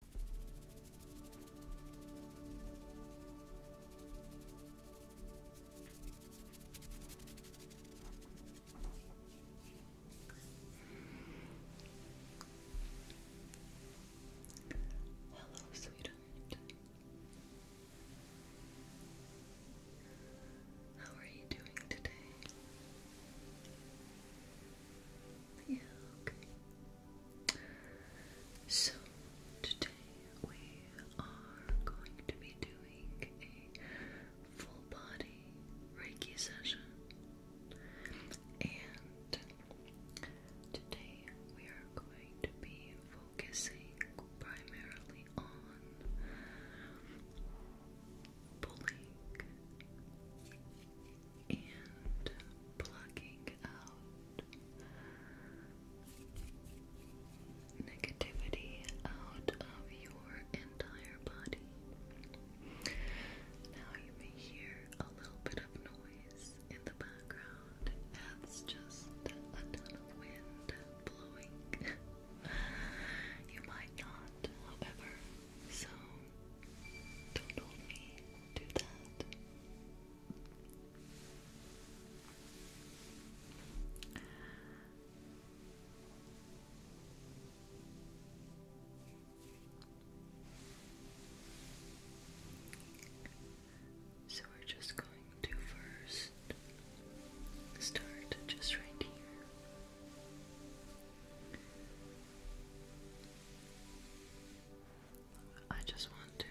Hello, sweetheart. How are you doing today? Yeah, okay. So, today we are going to be doing a full body Reiki session. And today we are going to be focusing primarily on pulling and plucking out negativity out of your entire body. Now you may hear a little bit of noise in the background. That's just a ton of wind blowing. you might not, however, so don't hold me do that. So we're just going to first start just right here. I just want to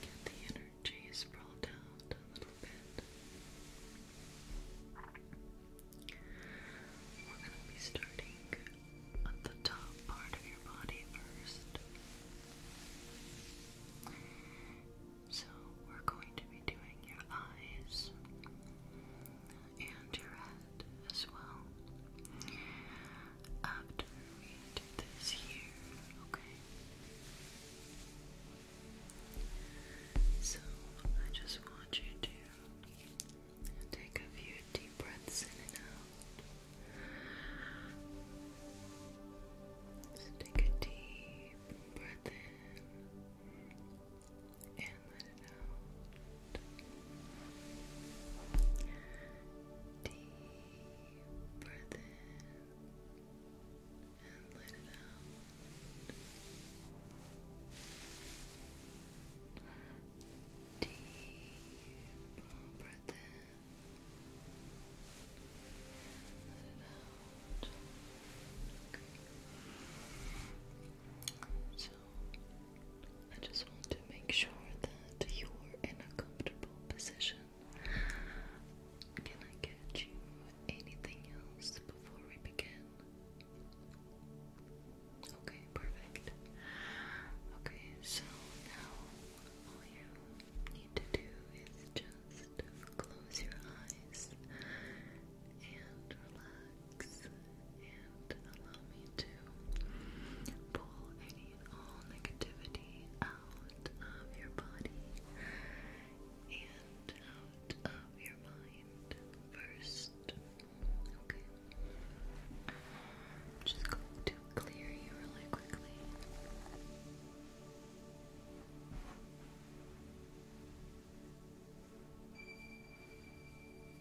get the energy sprawled out a little bit. We're going to be starting at the top part of your body first. So, we're going to be doing your eyes, and your head as well. After we do this here, okay? So I just want you to take a few deep breaths in and out. take a deep breath in and let Deep breath in and let it out. Deep breath in and let it out. So I just want to make sure that you are in a comfortable position. Can I get you anything else before we begin? Okay, perfect. Okay, so now all you need to do is just close your eyes and relax cheeks and allow me to pull any and all negativity out of your body and out of your mind first. Okay. just going to clear you really quickly.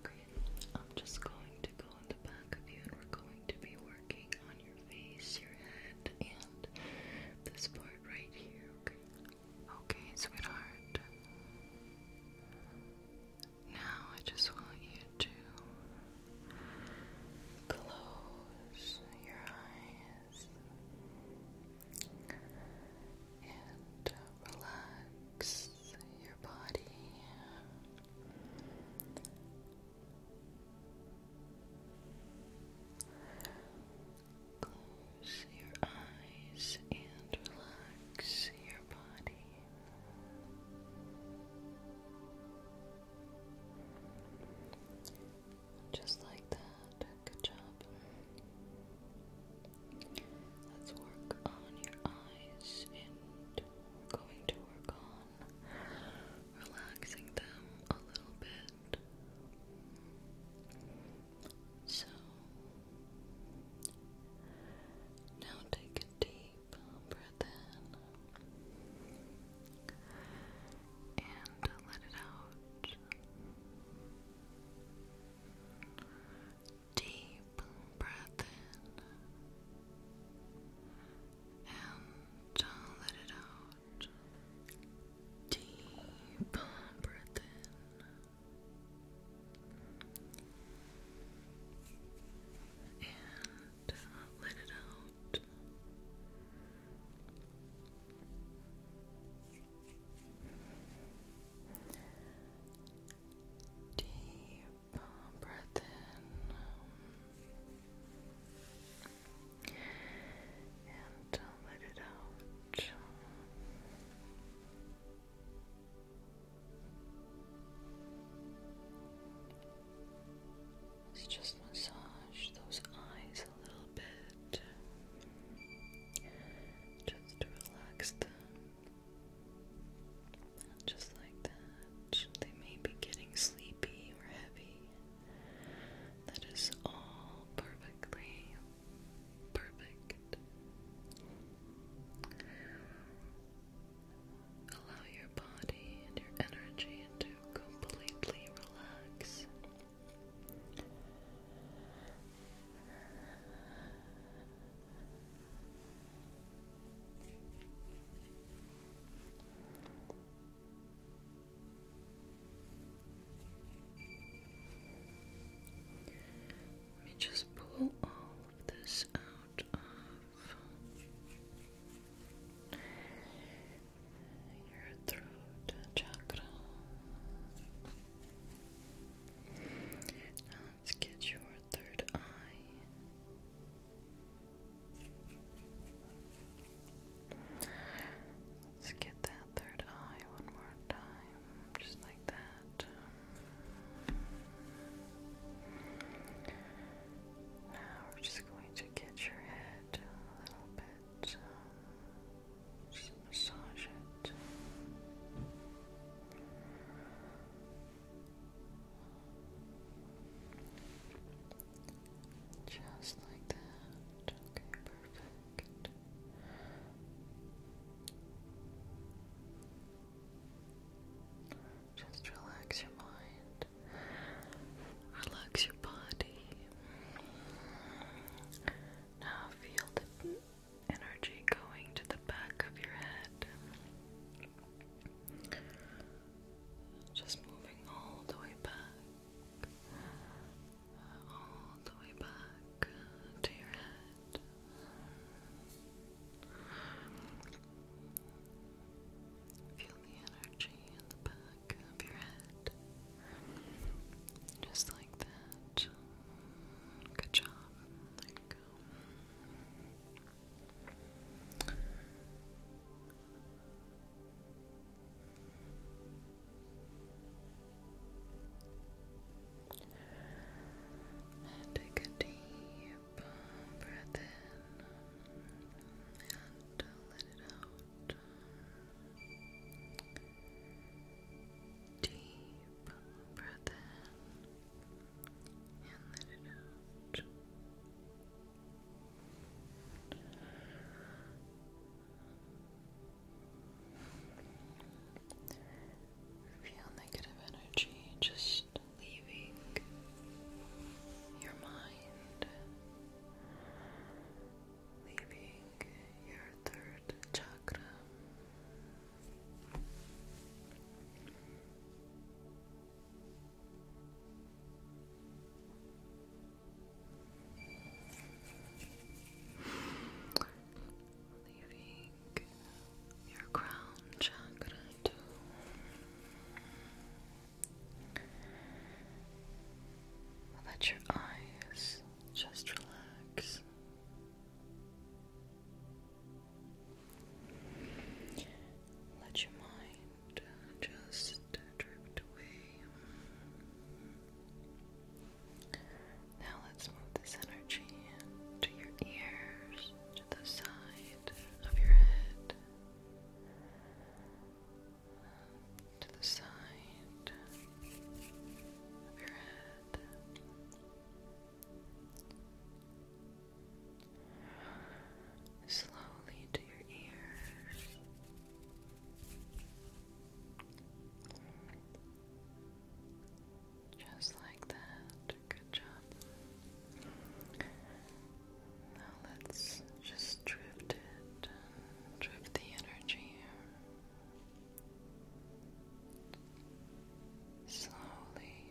Okay, I'm just going to go in the back of you and we're going to be working on your face, your head, and this part right here, okay? Okay, sweetheart. Now I just want you to close your eyes and relax your body. Close your eyes and relax your body. Just like that. Good job. Let's work on your eyes and going to work on relaxing them a little bit. So now take a deep breath in and let it out deep breath in and let it out. Deep breath in and let it out. Deep breath in and let it out. Let's just massage those eyes a little bit just relax them just like that, they may be getting sleepy or heavy. That is all perfectly perfect. Allow your body and your energy to completely relax. Let me just pull all of this out of your throat chakra. Let's get your third eye. Let's get that third eye one more time, just like that. Now we're just going to get your head a little bit, uh, just massage it. Just like that. Okay, perfect. Just relax your mind. Relax your body. Now feel the energy going to the back of your head. Just moving all the way back, all the way back to your head. Feel the energy in the back of your head. Just like that. Good job go. And take a deep breath in and let it out. Deep breath in and let it Feel negative energy just leaving your mind, leaving your third chakra. Leaving your crown chakra too. Let your eyes just relax. Let your mind just drift away. Now let's move this energy to your ears, to the side of your head, to the side of your head slowly to your ears. Just like that. Good job. Now let's just drift it, drift the energy. Slowly,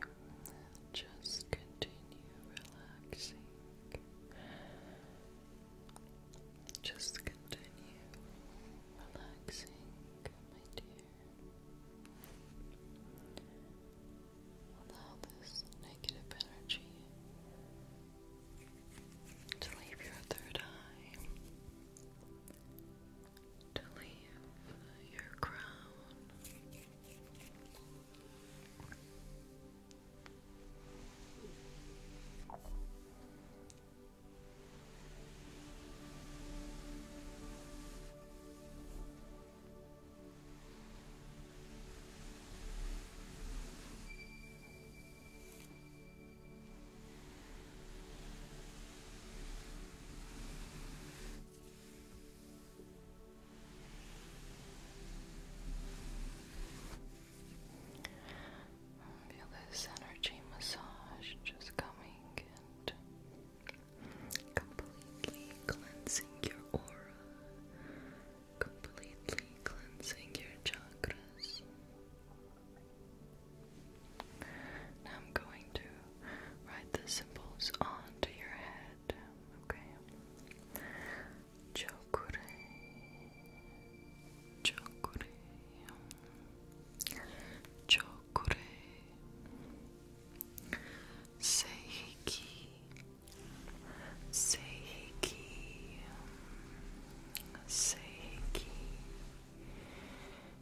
just continue relaxing. Just continue relaxing, my dear. Allow this negative energy to leave your third eye to leave your crown. Feel this energy massage just coming and completely cleansing your aura, completely cleansing your chakras. I'm going to write the symbols onto your head. Okay. Chokure. Chokure. Chokure. Seiki. Seiki. Seiki.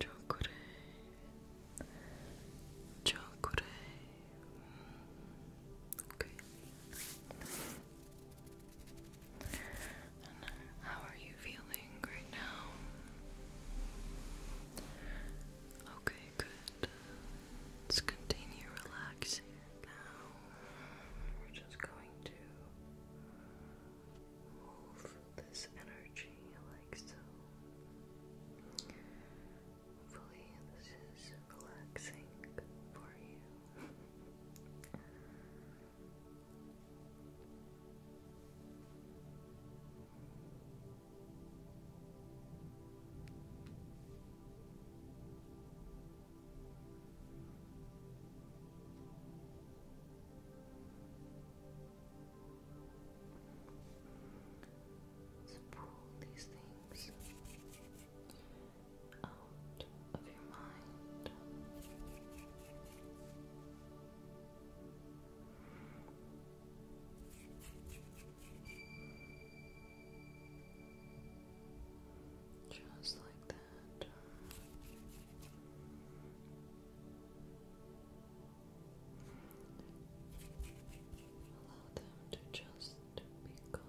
chocolate, chocolate. Uh, how are you feeling right now? Okay, good. Let's continue relaxing now. We're just going to move this energy like so. Hopefully this is relaxing for you. So pull these things out of your mind. Just like that. Allow them to just be gone.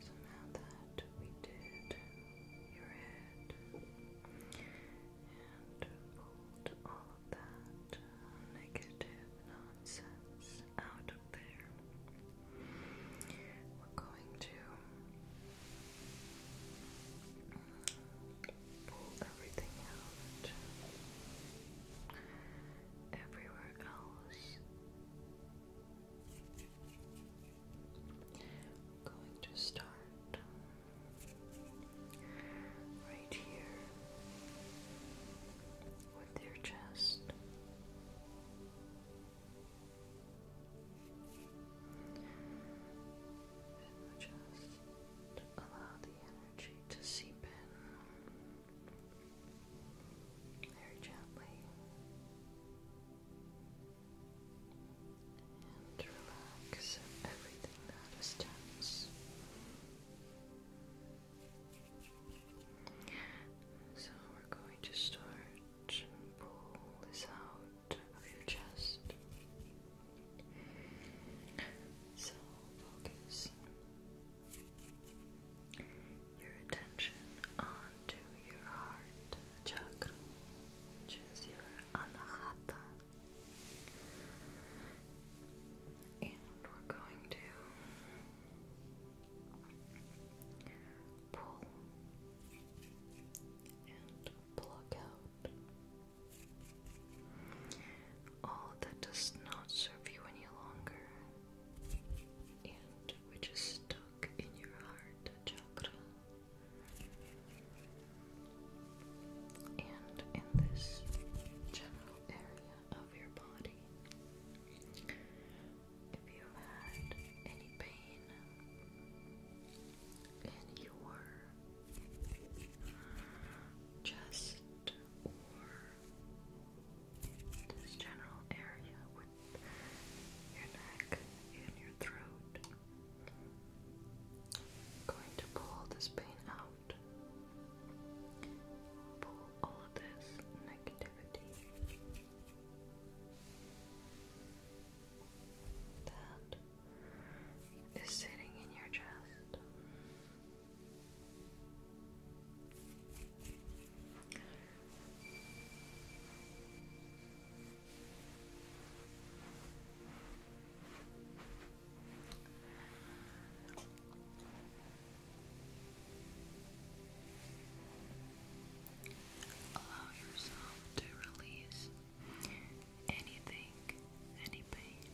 So now that we did your head and pulled all of that uh, negative nonsense out of there, we're going to uh, pull everything out everywhere else. going to start um, right here with your chest. And just allow the energy to seep in very gently and relax everything that is tense. So we're going to start and pull this out of your chest. So focus your attention onto your heart chakra, your anahata. And we're going to pull and pluck out all that does not serve you any longer, and which is stuck in your heart chakra. And in this general area of your body, if you had any pain and you were just this general area with your neck and your throat. going to pull this pain out. Pull all of this negativity. That is sitting in your chest. Allow yourself to release anything, any pain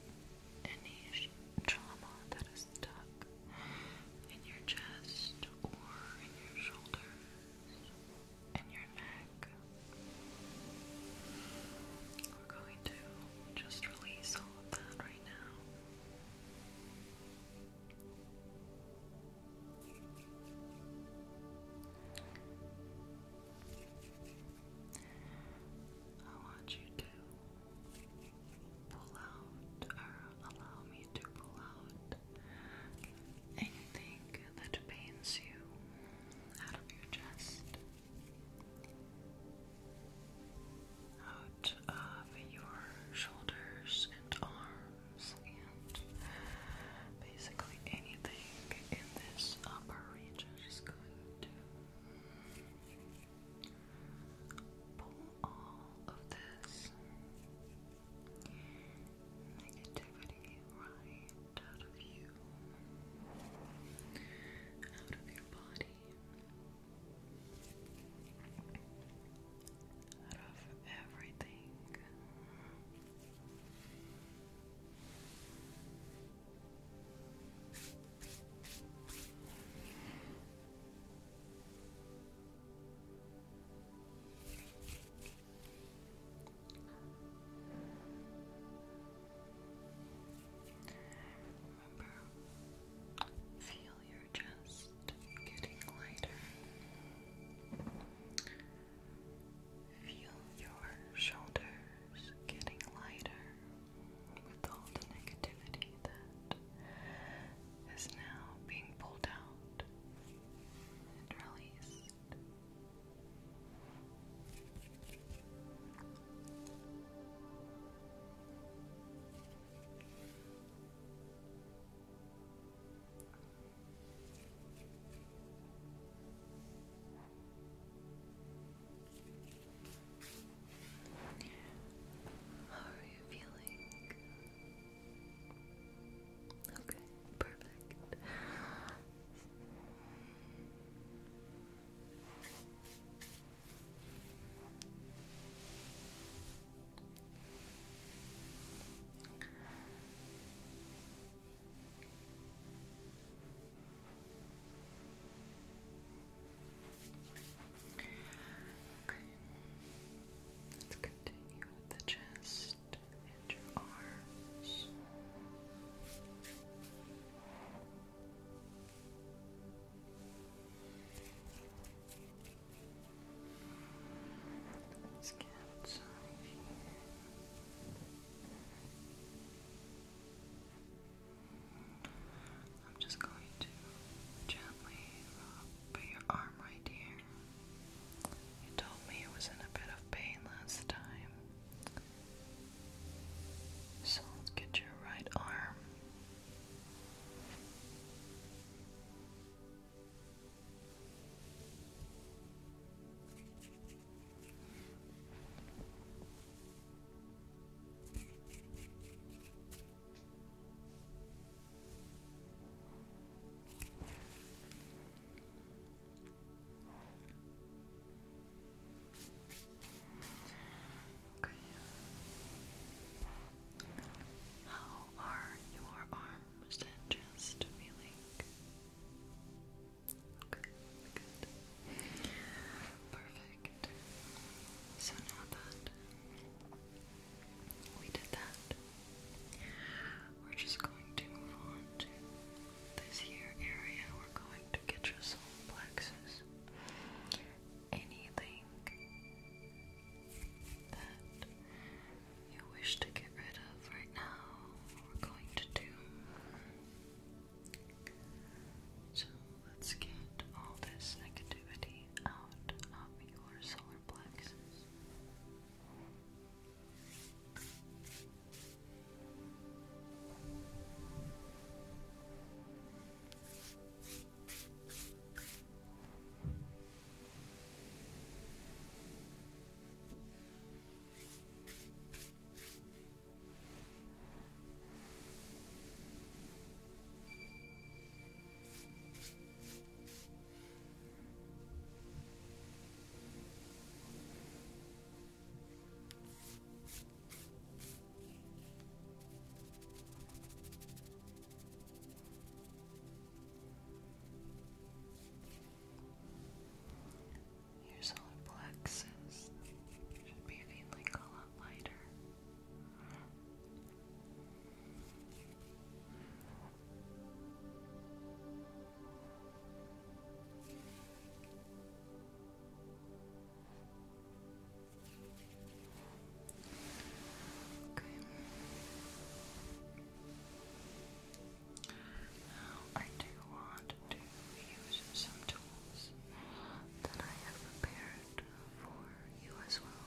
any trauma that is stuck in your chest or in your shoulders, in your neck. We're going to just release all of that right now. I want you to pull allow me to pull out anything that pains you out of your chest, out of your shoulders and arms, and basically anything in this upper region is going Pull all of this negativity right out of you, out of your body, out of everything. Remember, feel your chest getting lighter. Feel your shoulders getting lighter with all the negativity that is now being pulled out and released. How are you feeling? Okay, perfect. Okay. Let's continue with the chest and your arms. Let's get I'm just going to gently put your arm right here. You told me it was in a bit of pain last time. So let's get your right arm. Okay. How are your arms and chest feeling? Okay, good. Perfect. So now that we did that, we're just going to move on to this here area. We're going to get your soul plexus. Anything that you wish to get rid of right now, we're going to do so let's get all this negativity out of your solar plexus. Your solar plexus should be feeling a lot lighter. Okay. Now I do want to use some tools that I have prepared for you as well.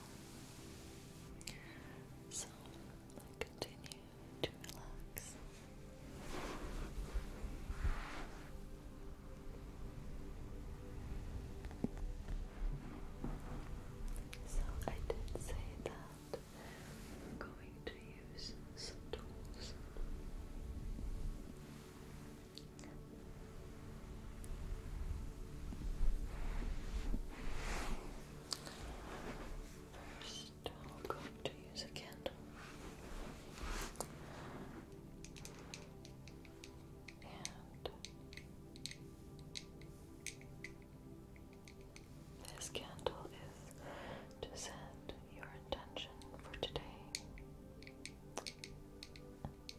So continue to relax. So I did say that we're going to use some tools. 1st going to use a candle. And this candle is to set your intention for today and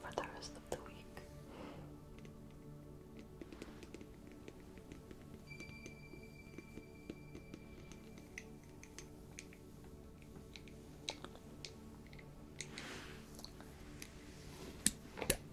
for the rest of the week.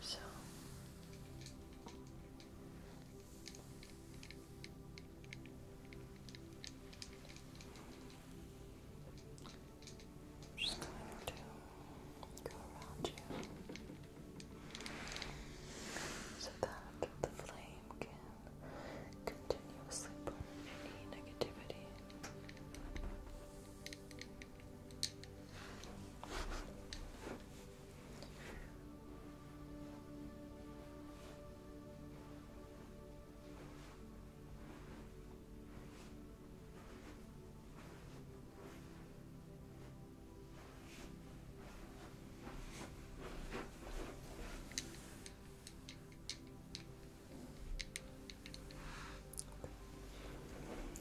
So just going to go around you so that the flame can continuously burn any negativity.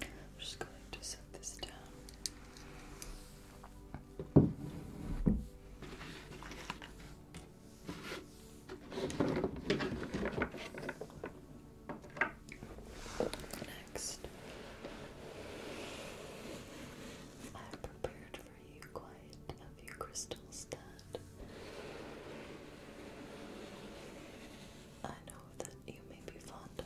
I'm just going to set this down next. I have prepared for you quite a few crystals that I know that you may be fond of.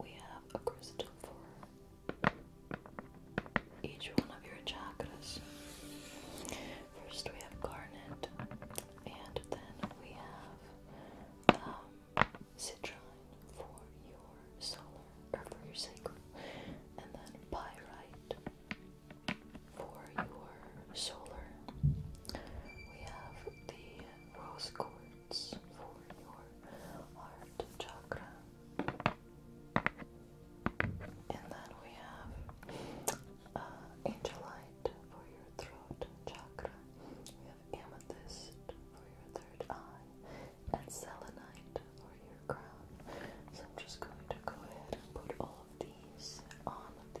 We have a crystal for each one of your chakras. First, we have garnet, and then we have um, citrine for your solar or for your sacral, and then pyrite for your solar. We have the rose quartz for your heart chakra. And then we have uh, angelite for your throat chakra. We have amethyst for your third eye and selenite for your crown. So I'm just going to go ahead and put all of these on the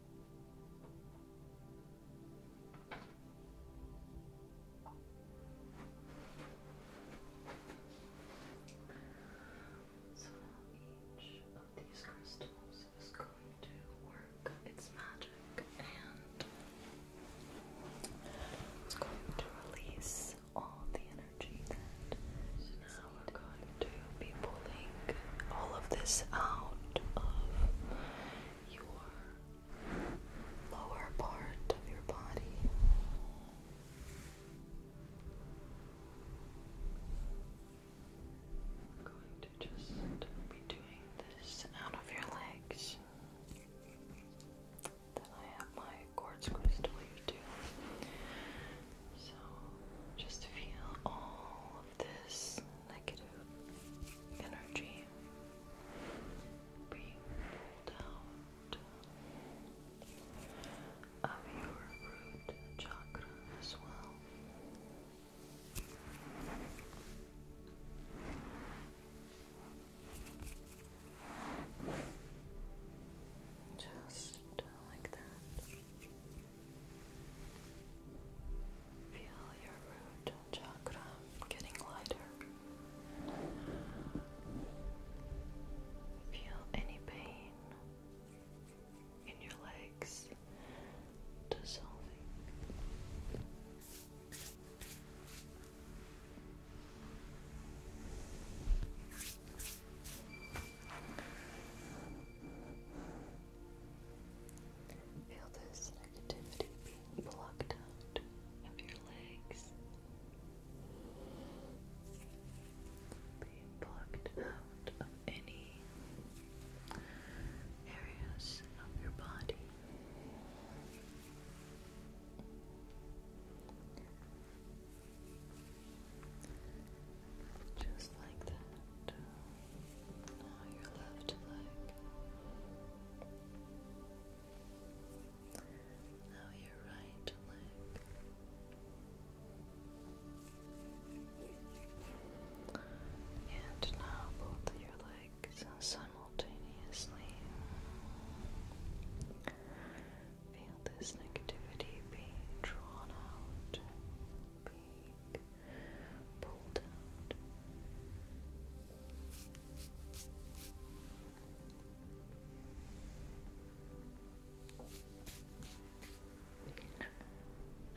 So now each of these crystals is going to work its magic and it's going to release all the energy that is so we're going to be pulling all of this out of your lower part of your body. I'm going to just be doing this out of your legs. Then I have my quartz crystal too. So just feel all all of this negative energy being pulled out of your root chakra as well. Just like that. Feel your root chakra getting lighter. Feel any pain in your legs dissolving. Feel this negativity being blocked out of your legs. Being blocked out of any areas of your body. Just like that. Now your left leg. Now your right leg. And now both your legs simultaneously. Feel this negativity being drawn out, pulled out.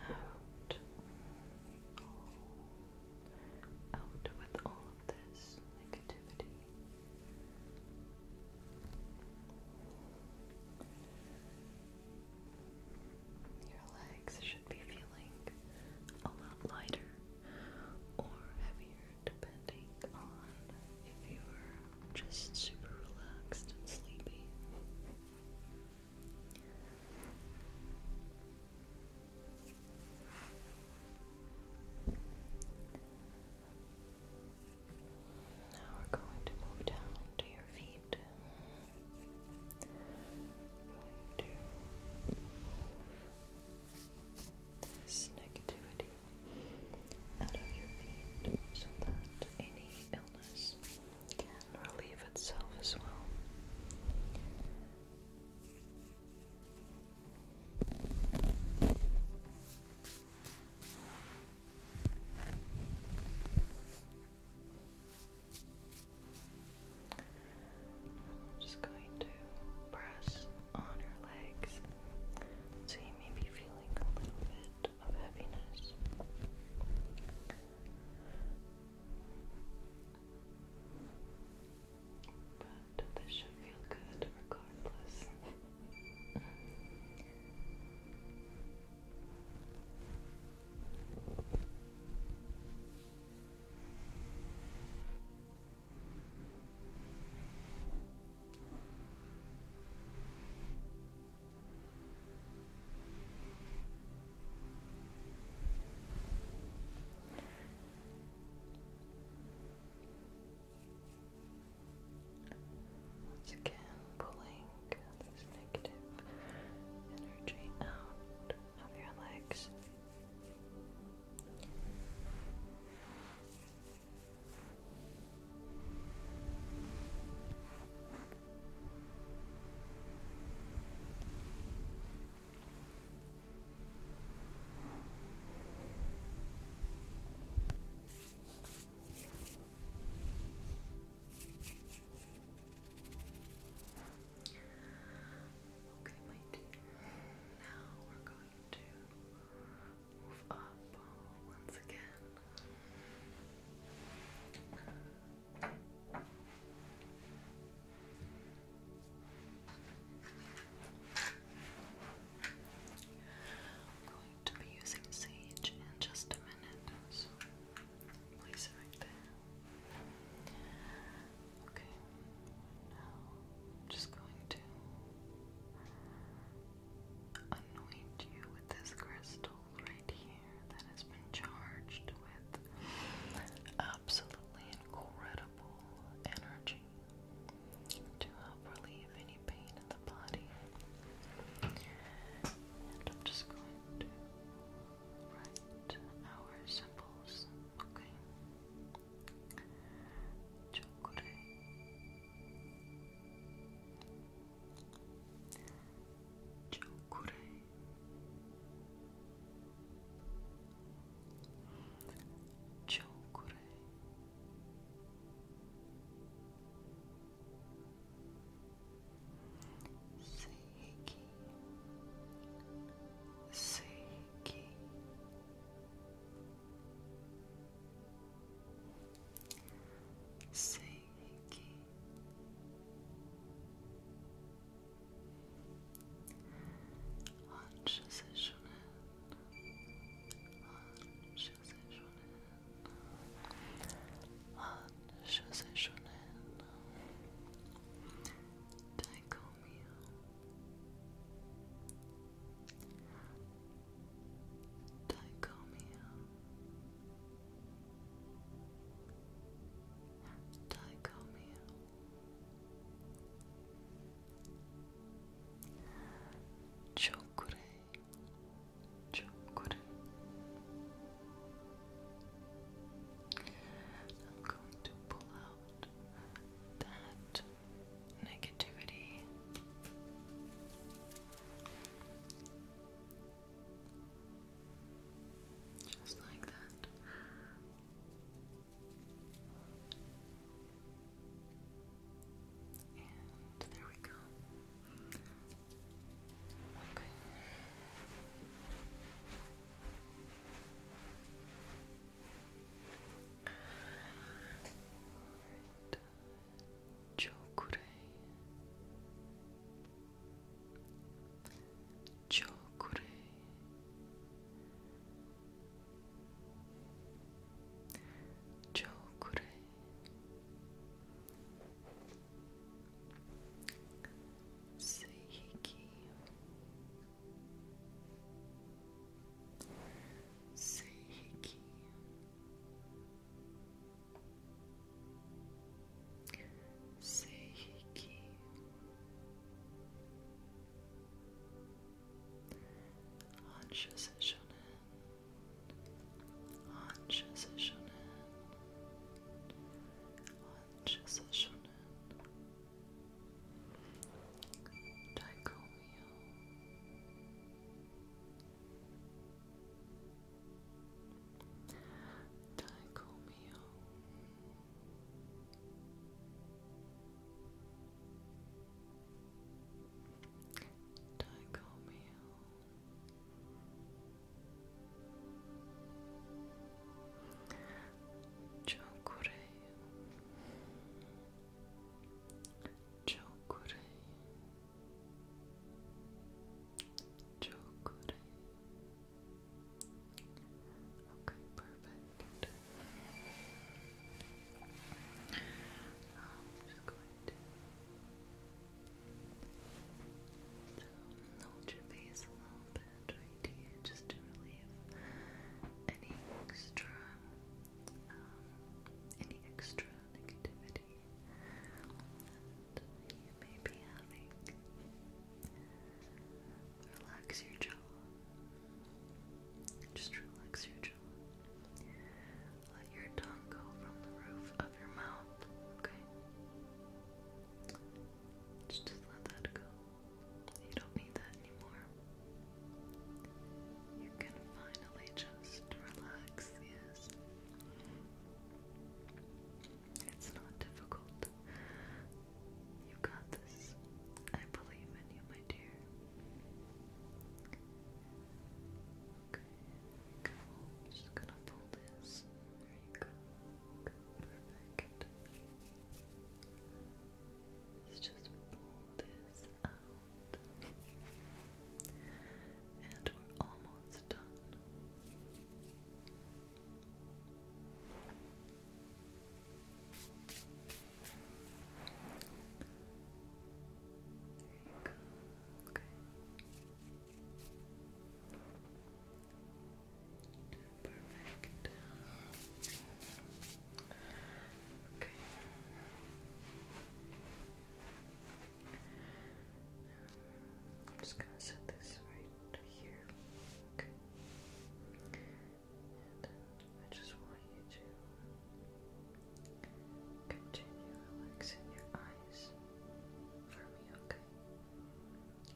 Out. Out with all of this negativity. Your legs should be feeling a lot lighter or heavier depending on if you were just super relaxed and sleepy. Now we're going to move down to your feet right. this negativity so that any illness can relieve itself as well. I'm just going to press on your legs so you feeling a little bit of heaviness. But this should feel good regardless. Once again, pulling this negative energy out of your legs. Okay, my Now we're going to move up once again. I'm going to be using sage in just a minute, Place it right there. Okay. Now I'm just going to anoint you with this crystal right here that has been charged with absolutely incredible energy to help relieve any pain in the body. And I'm just going to write our symbols, okay? Chakure. Chakure. Chokure Seiki Seiki Seiki Ancha se shonen Ancha se shonen 한 슈세션은 달콤이요. 달콤이요. 달콤이요. 초콜릿 Chocolate. I'm going to pull out that negativity. Just like that. And there we go. Chocolate. Right. Chokure. Seiki Seiki Seiki Hansha Shonen Anşası şunun Anşası şunun Dichomial Dichomial Dichomial Chokurei Chokurei Chokurei Okay, perfect. I'm just going to ah, hold your face a little bit just to relieve any extra, um, any extra negativity that having. Relax your jaw. Just relax your jaw. Let your tongue go from the roof of your mouth okay? Just let that go. You don't need that anymore. You can finally just relax, yes. It's not difficult. You got this. I believe in you, my dear. Okay, just gonna pull this. There you go. Perfect. Let's just pull this out. And we're almost done. There you go. Okay. I'm just gonna set this right here. I just want you to continue relaxing your eyes for me, okay?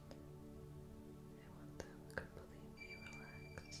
I want them completely relaxed.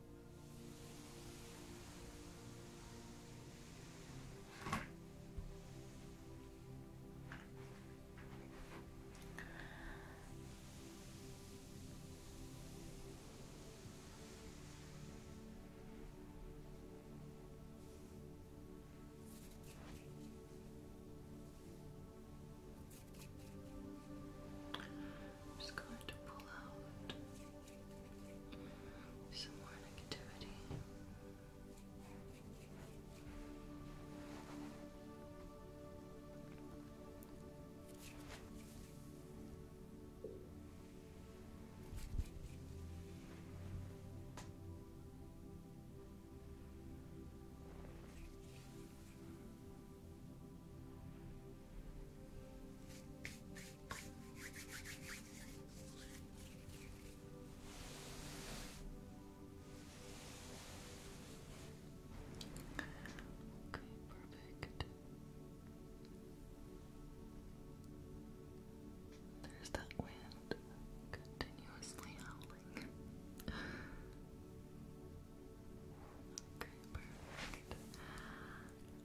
I'm just going to pull out some more negativity. Okay. Okay, perfect. There's that wind continuously howling. Okay, perfect.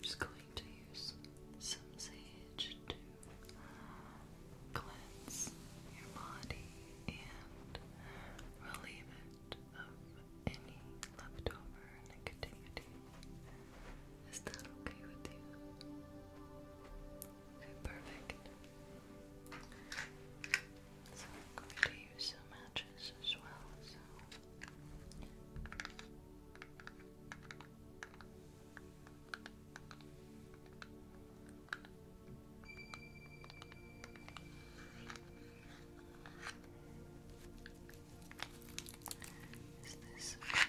just going to use some sage to cleanse your body and relieve it of any leftover negativity. Is that okay with you? Okay, perfect. So I'm going to use some matches as well, so is this okay?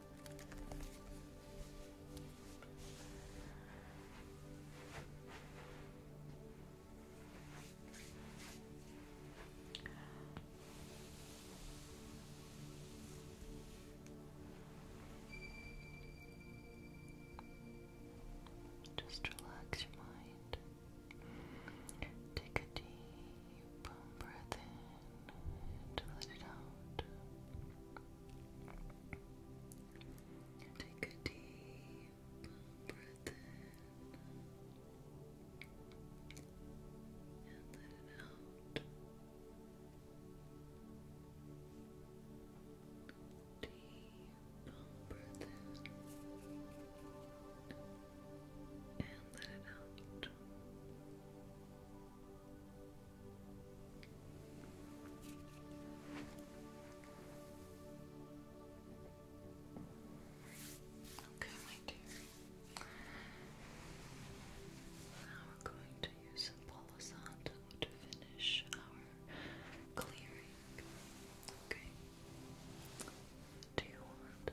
Just relax your mind. Take a deep deep breath in and let it out. Take a Deep breath in and let it out. Deep breath in and let it out. Okay, my dear. Now we're going to use Palo to finish our clearing. Okay. Do you want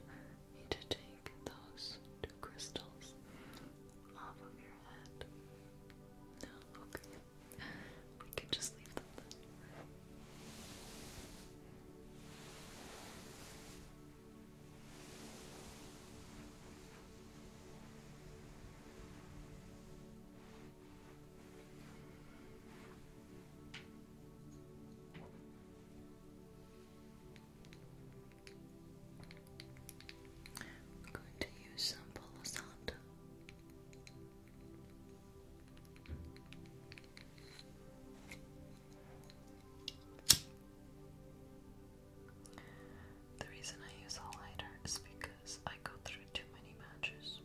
need to take those two crystals off of your head. No, okay. We can just leave them then. I'm going to use some Palo The reason I use a is because I go through too many matches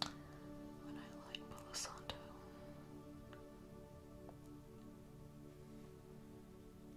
when I light Palo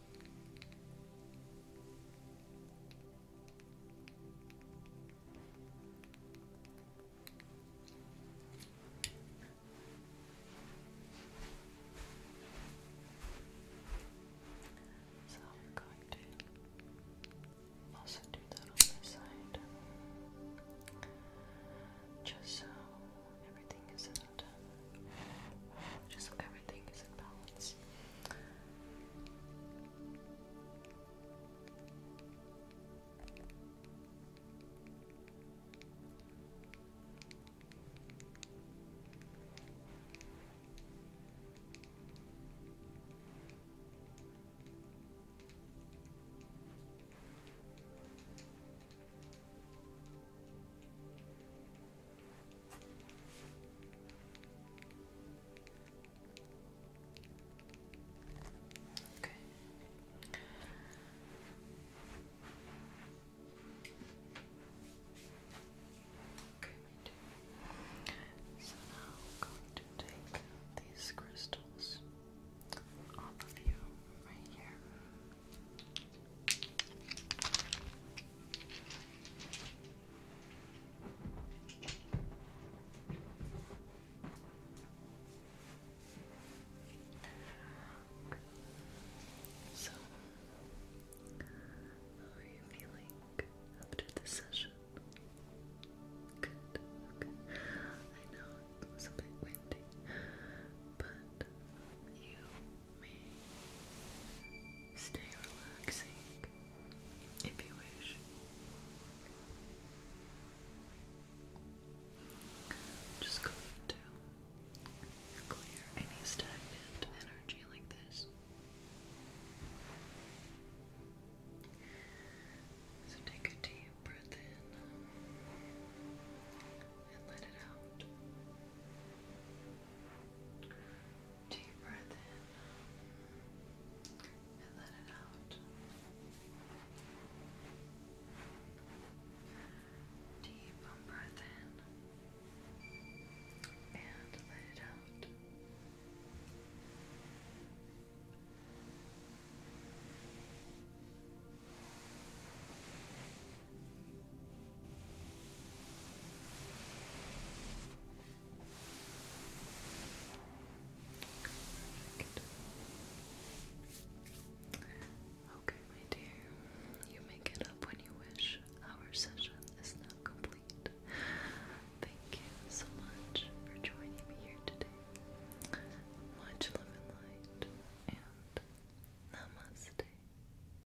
So I'm going to also do that on this side. Just so everything isn't just so everything is in balance. Okay. Okay, So now I'm going to take these crystals off of you right here. So, how are you feeling after the session? Good, okay. I know it was a bit windy, but you stay relaxing if you wish. just going to clear any stagnant energy like this. So take a deep breath in and let it out. Deep breath in and let it out. Deep breath in and let it out. Deep breath in Okay, my dear, you may get up when you wish. Our session is now complete. Thank you so much for joining me here today. Much love light, and namaste.